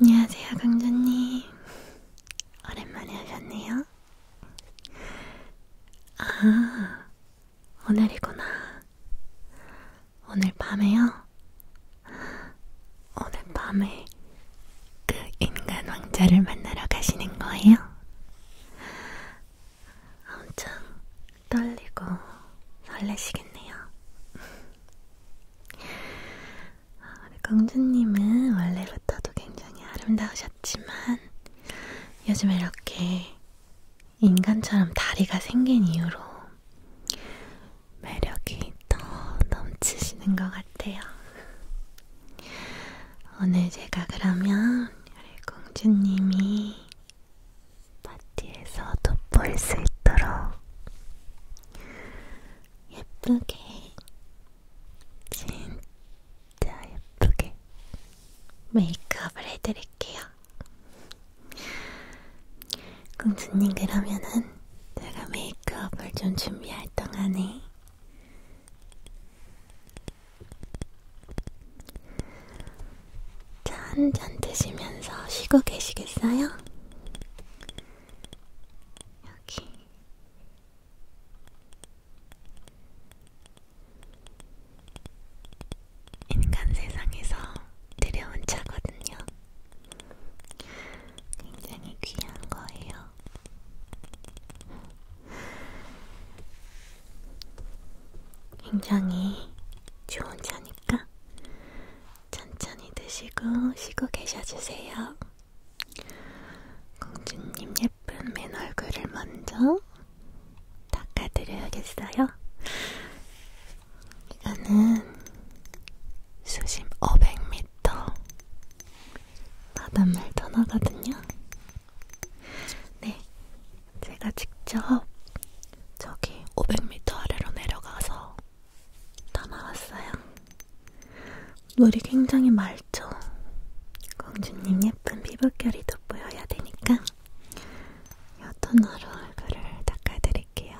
안녕하세요, 강조님. 오랜만에 하셨네요. 아, 오늘이구나. 오늘 밤에요? 오늘 밤에 그 인간 왕자를 만나러 가시는 거예요? 엄청 떨리고 설레시겠네요. 우리 공주님은 원래부터도 굉장히 아름다우셨지만 요즘 이렇게 인간처럼 다리가 생긴 이유로 매력이 더 넘치시는 것 같아요. 오늘 제가 그러면 우리 공주님이 파티에서 돋보일 수 있도록 예쁘게 진짜 예쁘게 메이크업을 해드릴게요. 공주님 그러면은 제가 메이크업을 좀 준비할 동안에 차 한잔 드시면서 쉬고 계시겠어요? 여기 인간 세상에서 들여온 차거든요. 굉장히 귀한 거예요. 굉장히 좋은 차니까 천천히 드시고 쉬고 계셔주세요. 공주님 예쁜 맨 얼굴을 먼저 닦아드려야겠어요. 이거는 수심 500m 바닷물 터널거든요. 네, 제가 직접 저기 500m 아래로 내려가서 떠나왔어요. 물이 굉장히 맑죠. 공주님 예쁜 피부결이 돋보여야 되니까 이 토너로 얼굴을 닦아드릴게요.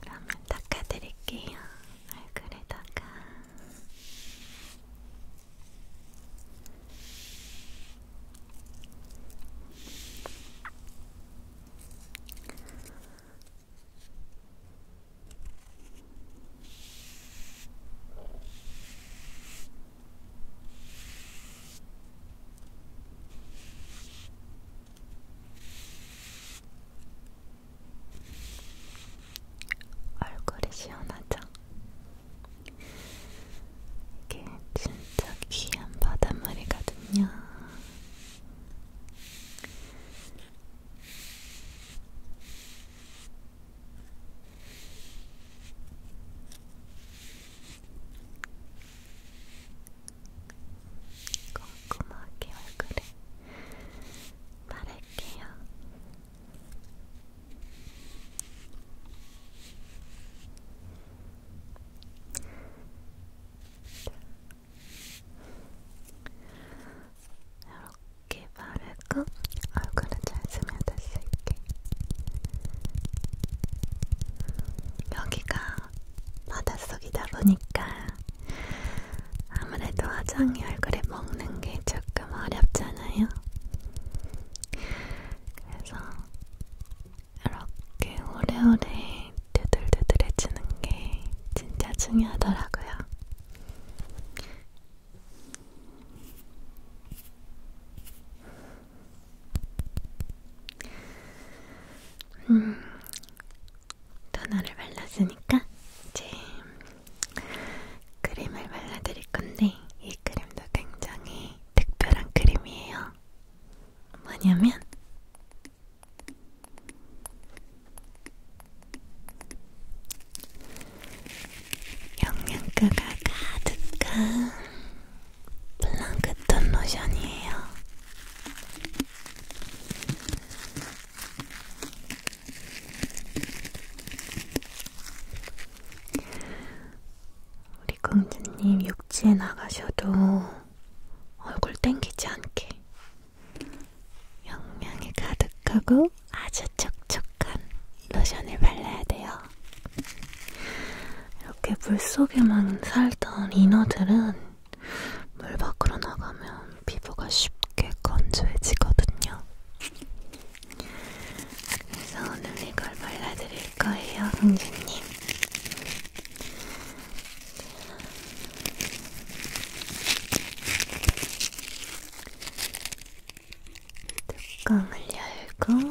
그러면 닦아드릴게요. 얼굴에다가 얼굴이 시원하죠? 이게 진짜 귀한 바닷물이거든요. 꼼꼼하게 얼굴에 바를게요. 이렇게 이렇게 바르고 얼굴은 잘 스며들 수 있게 여기가 바닷속이다 보니까 아무래도 화장이 얼굴에 먹는 게 조금 어렵잖아요. 그래서 이렇게 오래오래 두들두들해주는 게 진짜 중요하더라고요. 음, 토너를 발랐으니까 이제 크림을 발라드릴 건데 이 크림도 굉장히 특별한 크림이에요. 뭐냐면 영양가가 가득한 플랑크톤 로션이에요. 우리 공주님 육지에 나가셔도 얼굴 땡기지 않게 영양이 가득하고 아주 촉촉한 로션을 발라야 돼요. 이렇게 물속에만 살던 인어들은 물 밖으로 나가면 피부가 쉽게 건조해지거든요. 그래서 오늘 이걸 발라드릴 거예요, 공주님. 뚜껑을 열고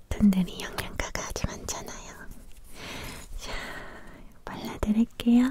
그톤들이 영양가가 아주 많잖아요. 자, 발라드릴게요.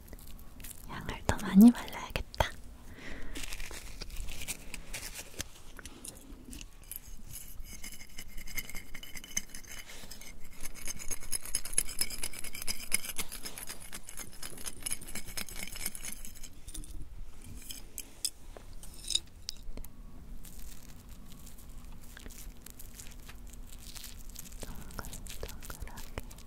양을 더 많이 발라야겠다. 동글 동글하게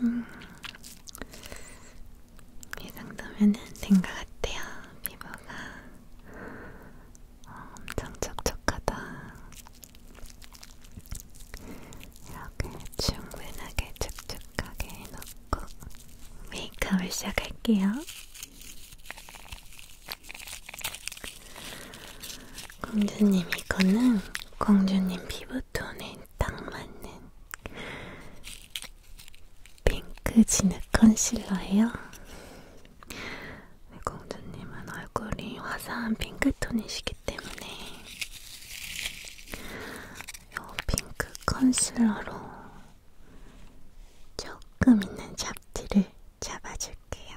음, 이 정도면은 된 것 같아요. 피부가 어, 엄청 촉촉하다. 이렇게 충분하게 촉촉하게 해놓고 메이크업을 시작할게요. 공주님 이거는 공주님 피부톤에 딱 맞는 핑크 진흙 컨실러예요. 공주님은 네, 얼굴이 화사한 핑크톤이시기 때문에 이 핑크 컨실러로 조금 있는 잡티를 잡아줄게요.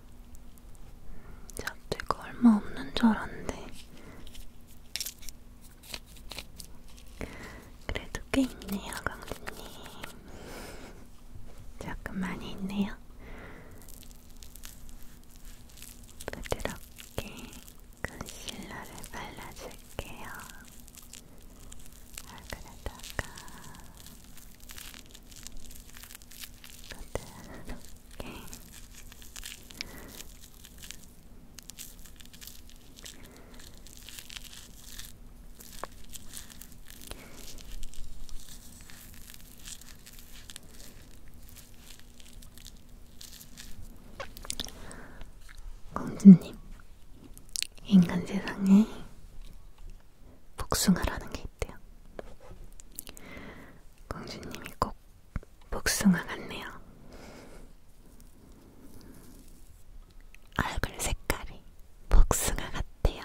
잡지가 얼마 없는 줄 알았는데 그래도 꽤 있네요 강수님 조금 많이 있네요 부드럽게 컨실러를 발라줄게요 얼굴에다가 아, 부드럽게 이렇게 공주님, 인간 세상에 복숭아라는 게 있대요. 공주님이 꼭 복숭아 같네요. 얼굴 색깔이 복숭아 같대요.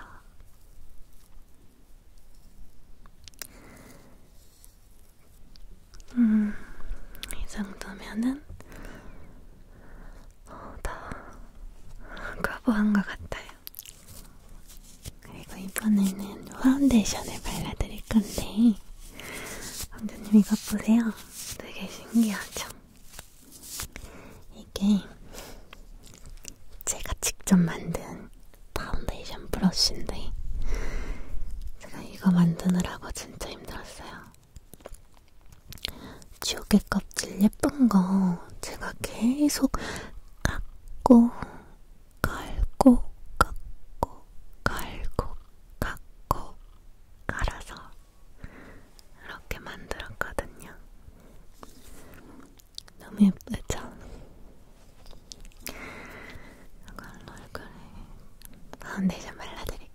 음, 이 정도면은 어, 다 커버한 것 같아요. 그리고 이번에는 파운데이션을 발라드릴 건데 왕자님 이것 보세요. 되게 신기하죠? 이게 제가 직접 만든 파운데이션 브러쉬인데 제가 이거 만드느라고 진짜 힘들었어요. 지우개 껍질 예쁜 거 제가 계속 깎고 갈고 깎고 갈고 깎고 갈아서 이렇게 만들었거든요. 너무 예쁘죠? 이걸로 얼굴에 파운데이션 발라드릴게요.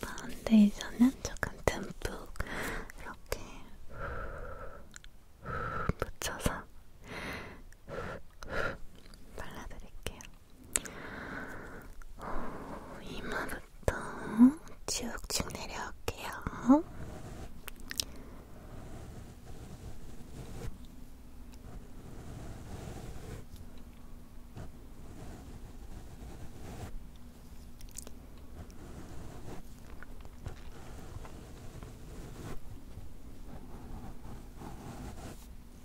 파운데이션은 조금 듬뿍 이렇게 묻혀서 발라드릴게요. 이마부터 쭉쭉 내려올게요.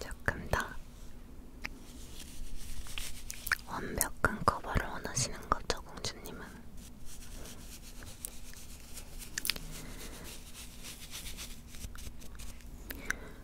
조금 더 완벽한 커버를 원하시는 거죠, 공주님은?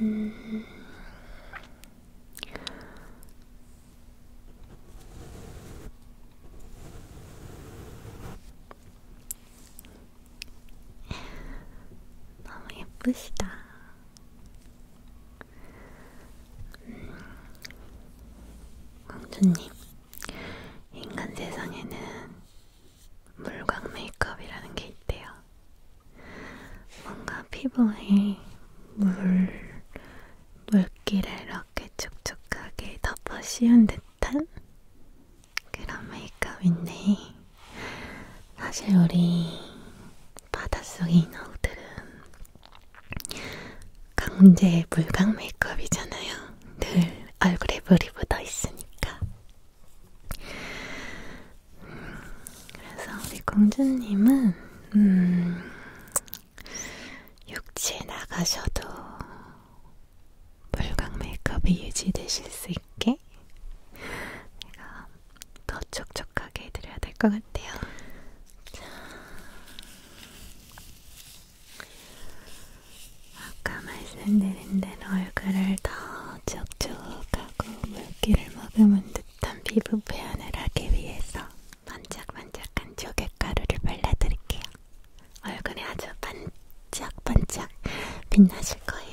음... 너무 예쁘시다. 음. 왕조님, 인간 세상에는 물광 메이크업이라는 게 있대요. 뭔가 피부에 물, 물기를 이렇게 촉촉하게 덮어 씌운 듯한 그런 메이크업인데, 사실 우리 바닷속의 인어들은 강제 물광 메이크업이잖아요. 늘 얼굴에 물이 묻어 있으니까. 그래서 우리 공주님은 음, 육지에 나가셔도 물광 메이크업이 유지되실 수 있게 내가 더 촉촉하게 해드려야 될 것 같아요. 자, 아까 말씀드린 대로 얼굴을 더 촉촉하고 물기를 머금은 듯한 피부 표현을 하기 위해서 반짝반짝한 조개가루를 발라드릴게요. 얼굴이 아주 반짝반짝 빛나실 거예요.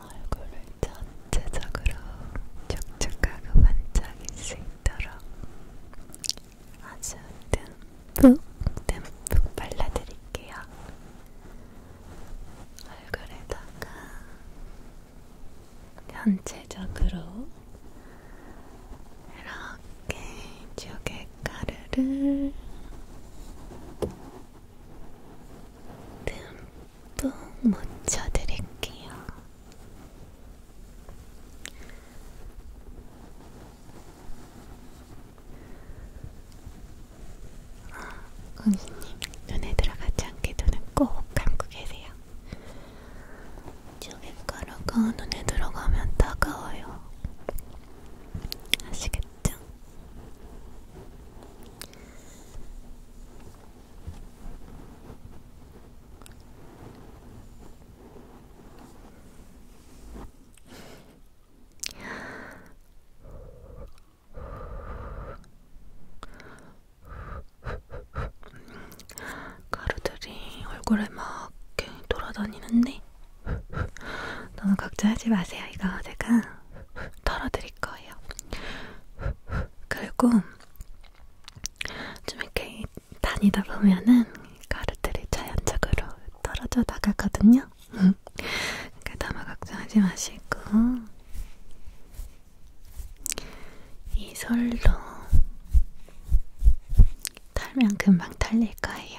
얼굴을 전체적으로 촉촉하고 반짝일 수 있도록 아주 듬뿍 듬뿍 발라드릴게요. 얼굴에다가 전체적으로 이렇게 조개가루를 듬뿍 묻혀드릴게요. 아, 어, 고객님 눈에 들어가지 않게 눈을 꼭 감고 계세요. 조개가루가 눈에 들어가면 따가워요. 아시겠죠? 가루들이 얼굴에 막 이렇게 돌아다니는데 너무 걱정하지 마세요. 이거 제가 털어드릴 거예요. 그리고 좀 이렇게 다니다 보면은 가루들이 자연적으로 떨어져 나가거든요. 그러니까 너무 걱정하지 마시고 이 솔로 털면 금방 털릴 거예요.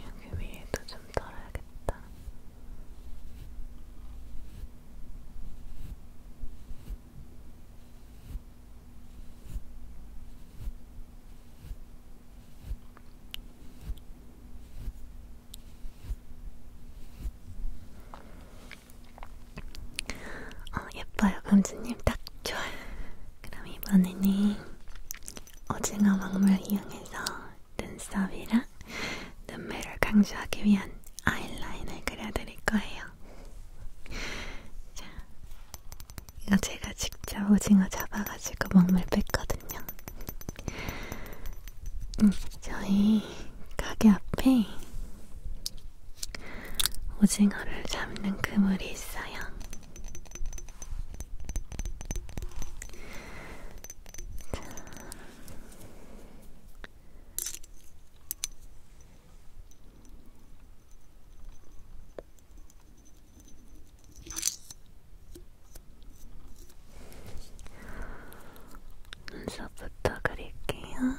여기 위에도 좀 덜어야겠다. 어, 예뻐요, 금주님. 딱 좋아요. 그럼 이번에는 오징어 막물 이용해서 눈썹이랑 눈매를 강조하기 위한 아이라인을 그려드릴 거예요. 자, 이거 제가 직접 오징어 잡아가지고 먹물 뺐거든요. 음, 저희 가게 앞에 오징어를 잡는 그물이 있어요. 눈썹부터 그릴게요.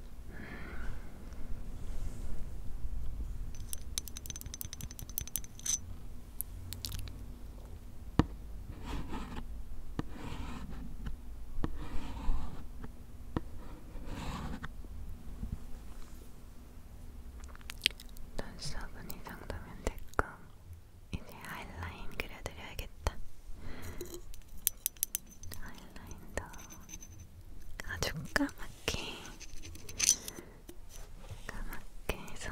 눈썹은 이 정도면 됐고 이제 아이라인 그려드려야겠다. 아이라인도 아주 까맣게 까맣게 해서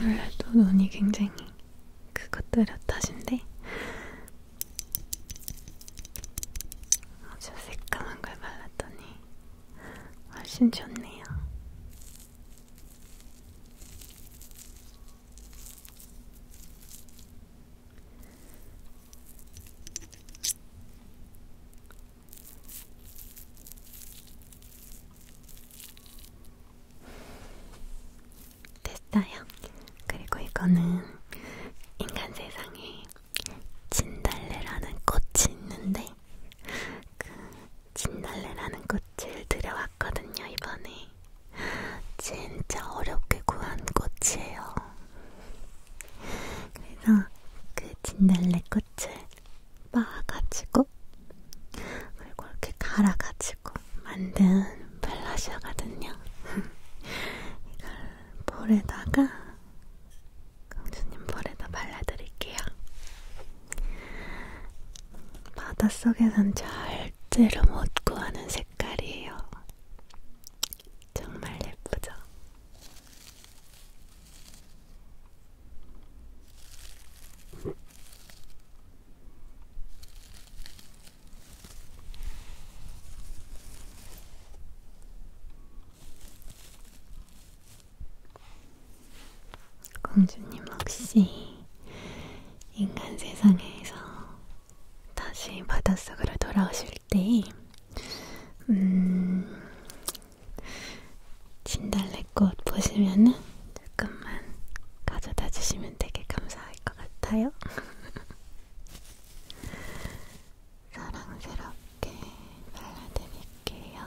오늘도 눈이 굉장히 그것들의 탓인데 아주 새까만 걸 발랐더니 훨씬 좋네요. 됐어요. 그리고 이거는 인간 세상에 진달래라는 꽃이 있는데 그 진달래라는 꽃을 들여왔거든요 이번에 진짜 어렵게 구한 꽃이에요. 그래서 그 진달래 꽃을 빻아가지고 그리고 이렇게 갈아가지고 만든 블러셔거든요. 이걸 볼에다가 공주님 볼에다 발라드릴게요. 바닷속에선 절대로 못 구하는 색깔이에요. 정말 예쁘죠? 공주님 혹시 인간 세상에서 다시 바닷속으로 돌아오실 때, 음, 진달래꽃 보시면은 조금만 가져다 주시면 되게 감사할 것 같아요. 사랑스럽게 발라드릴게요.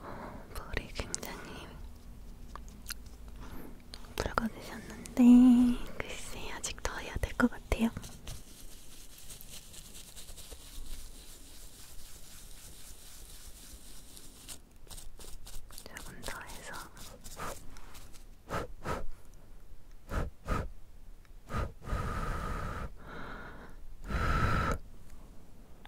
어, 머리 굉장히 붉어지셨는데 글쎄 아직 더 해야 될 것 같아요. 조금 더 해서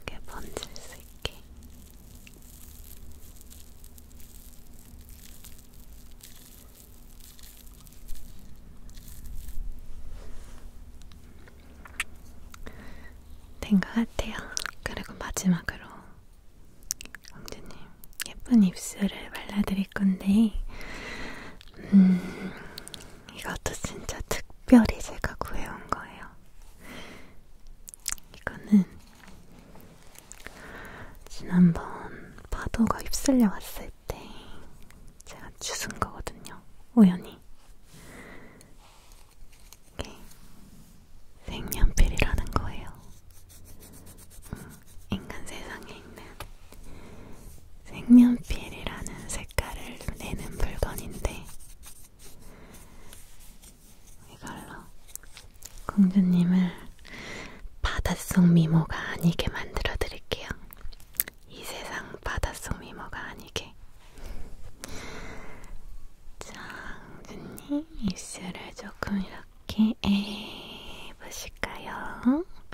예쁘게 번질 수 있게. 된 것 같아요. 그리고 마지막으로 왕자님 예쁜 입술을 발라드릴 건데, 음, 이것도 진짜 특별히 제가 구해온 거예요. 이거는 지난번 파도가 휩쓸려 왔을 때 제가 주운 거거든요. 우연히. 이게 색연필이라는 거예요. 어, 인간 세상에 있는 색면필이라는 색깔을 내는 물건인데 이걸로 공주님을 바닷속 미모가 아니게 만들어 드릴게요. 이 세상 바닷속 미모가 아니게. 장준님 입술을 조금 이렇게 에 보실까요?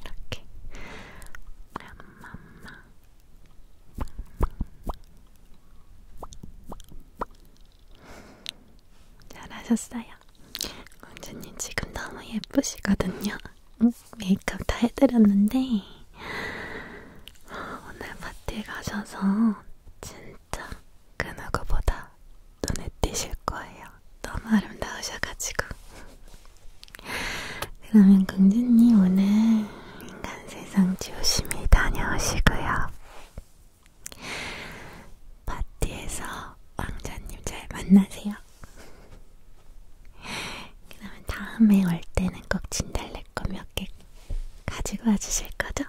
이렇게 맘맘마 잘하셨어요. 공주님 지금 너무 예쁘시거든요. 메이크업 다 해드렸는데 오늘 파티 가셔서 진짜 진짜 그 누구보다 눈에 띄실 거예요. 너무 아름다우셔가지고. 그러면 공주님 오늘 인간 세상 조심히 다녀오시고요. 파티에서 왕자님 잘 만나세요. 그러면 다음에 올 때는 꼭 진달래꽃 몇 개 가지고 와주실 거죠?